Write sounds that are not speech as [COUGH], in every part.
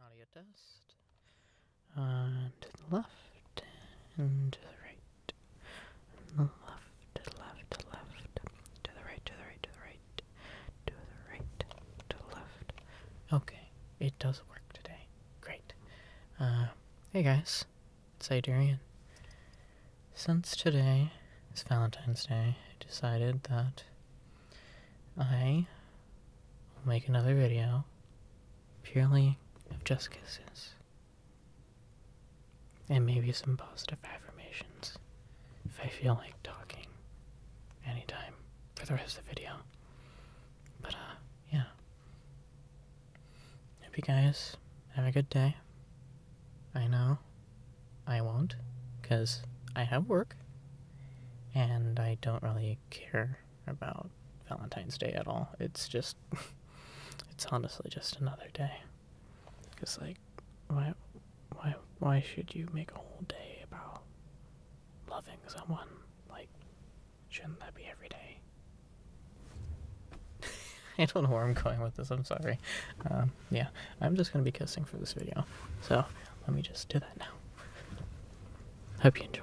Audio test. And to the left, and to the right. And the left, to the left, to the left. To the right, to the right, to the right. To the right, to the left. Okay, it does work today. Great. Uh, hey guys, it's Adrian. Since today is Valentine's Day, I decided that I will make another video purely of just kisses and maybe some positive affirmations if I feel like talking anytime for the rest of the video. But, uh, yeah. Hope you guys have a good day. I know I won't, because I have work and I don't really care about Valentine's Day at all. It's just, [LAUGHS] it's honestly just another day. Cause like, why, why, why should you make a whole day about loving someone? Like, shouldn't that be every day? [LAUGHS] I don't know where I'm going with this. I'm sorry. Um, yeah, I'm just gonna be kissing for this video. So let me just do that now. Hope you enjoy.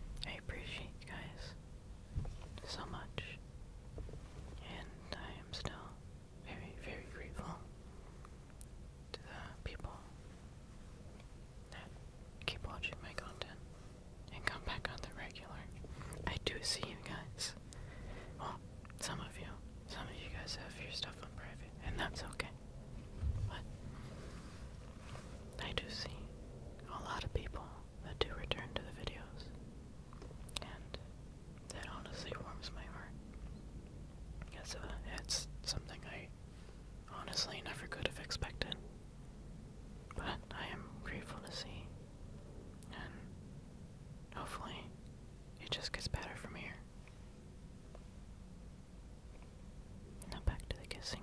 I appreciate you guys so much. And I am still very, very grateful to the people that keep watching my content and come back on the regular. I do see you guys. Well, some of you. Some of you guys have your stuff on private, and that's okay. But I do see a lot of people to return to the videos, and that honestly warms my heart. It's, uh, it's something I honestly never could have expected, but I am grateful to see, and hopefully it just gets better from here. Now back to the kissing.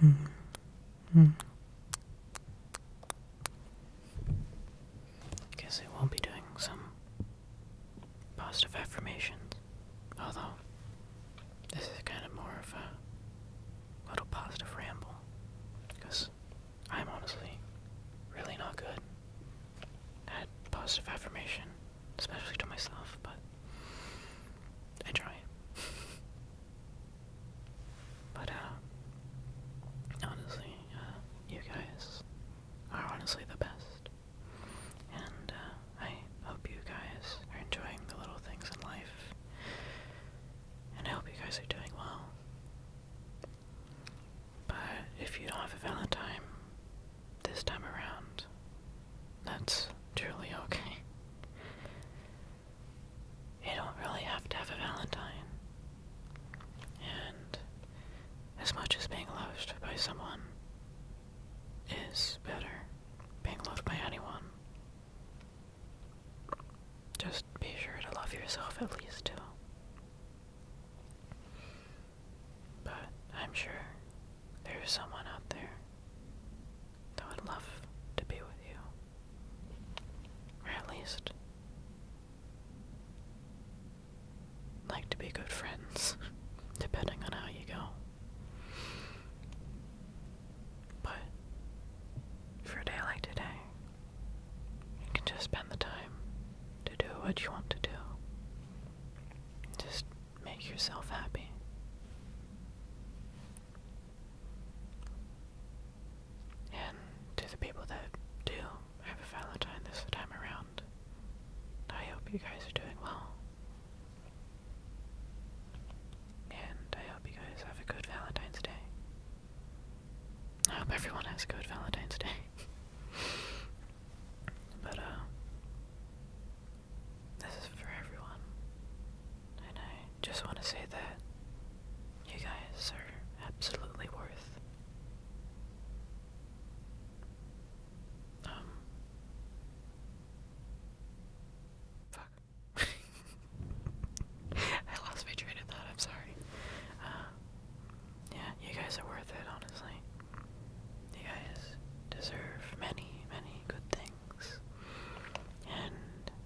Mm -hmm. Guess I won't be doing some positive affirmations, although this is kind of more of a little positive ramble, because I'm honestly really not good at positive affirmation especially to myself, but I try. [LAUGHS] but, uh, honestly, uh, you guys are honestly the best. And, uh, I hope you guys are enjoying the little things in life. And I hope you guys are doing well. But if you don't have a Valentine, this time around. That's truly okay. You don't really have to have a Valentine. And as much as being loved by someone is better, being loved by anyone, just be sure to love yourself at least too. But I'm sure there is someone out there that would love to be with you. Or at least like to be good friends, [LAUGHS] depending on how you go. But for a day like today, you can just spend the time to do what you want to do. Just make yourself happy. And to the people that do have a Valentine this time around, I hope you guys are doing well. And I hope you guys have a good Valentine's Day. I hope everyone has a good Valentine's Day. [LAUGHS] But, uh, this is for everyone. And I just want to say that you guys are absolutely worth, um, fuck. [LAUGHS] I lost my train of thought, I'm sorry. Uh, yeah, you guys are worth it, honestly. You guys deserve many, many good things. And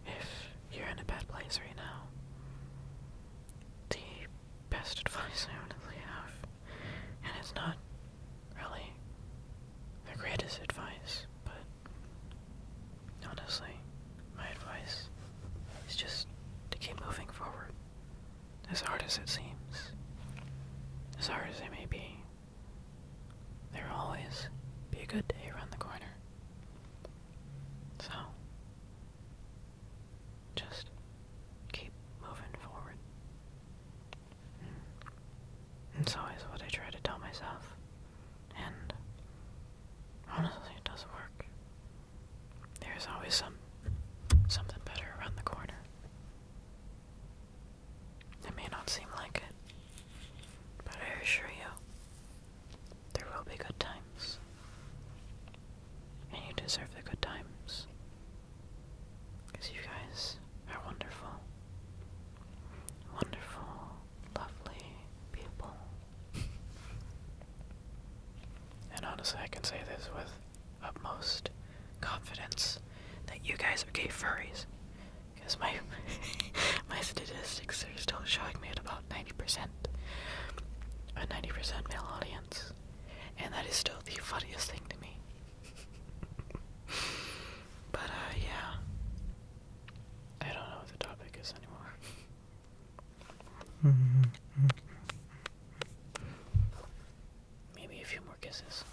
if you're in a bad place right now, the best advice I honestly have, and it's not really the greatest advice, but honestly, my advice is just to keep moving forward as hard as it seems, as hard as it may be, there will always be a good day around the corner. So, just keep moving forward. Mm. It's always what I try to tell myself, and honestly, it does work. There's always some something better around the corner. It may not seem like it, but I assure you, there will be good times. And you deserve the good times. Because you guys are wonderful. Wonderful, lovely people. [LAUGHS] And honestly, I can say this with utmost confidence that you guys are gay furries. Because my [LAUGHS] my statistics are still showing me at about 90%. A 90% male audience. And that is still the funniest thing to me. [LAUGHS] but, uh, yeah. I don't know what the topic is anymore. [LAUGHS] Maybe a few more kisses.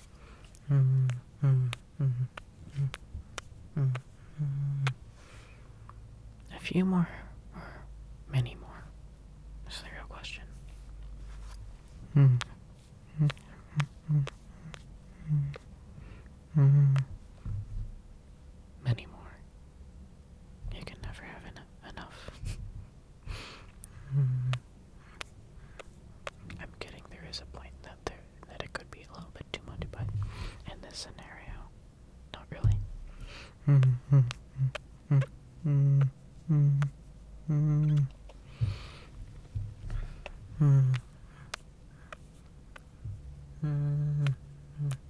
A few more, or many more? That's the real question. Many more. You can never have enough. I'm kidding. There is a point that there that it could be a little bit too much, but in this scenario, not really.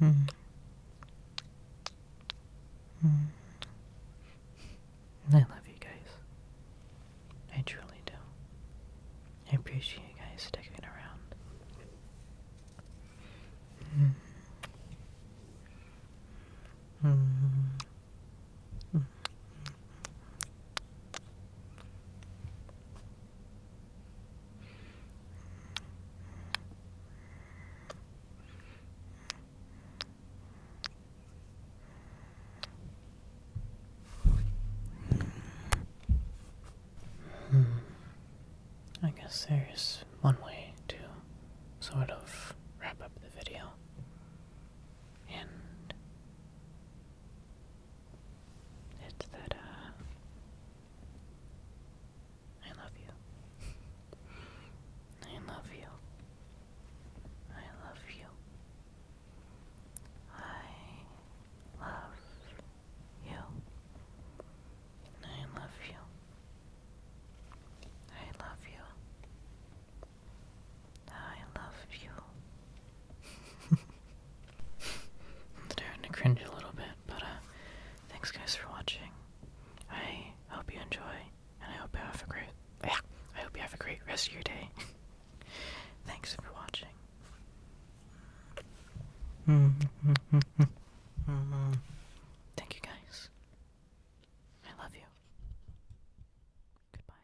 Mm. Mm. I love you guys. I truly do. I appreciate you guys sticking around. Mm. Mm. Mm. Hmm. I guess there's one way to sort of wrap up the video. And it's that, uh, I love you. I love you. I love you. I love you. I love you. I love you. I I love you. [LAUGHS] starting to cringe a little bit, but uh, thanks guys for watching. I hope you enjoy, and I hope you have a great, I hope you have a great rest of your day. [LAUGHS] thanks for watching. [LAUGHS] Thank you guys. I love you. Goodbye.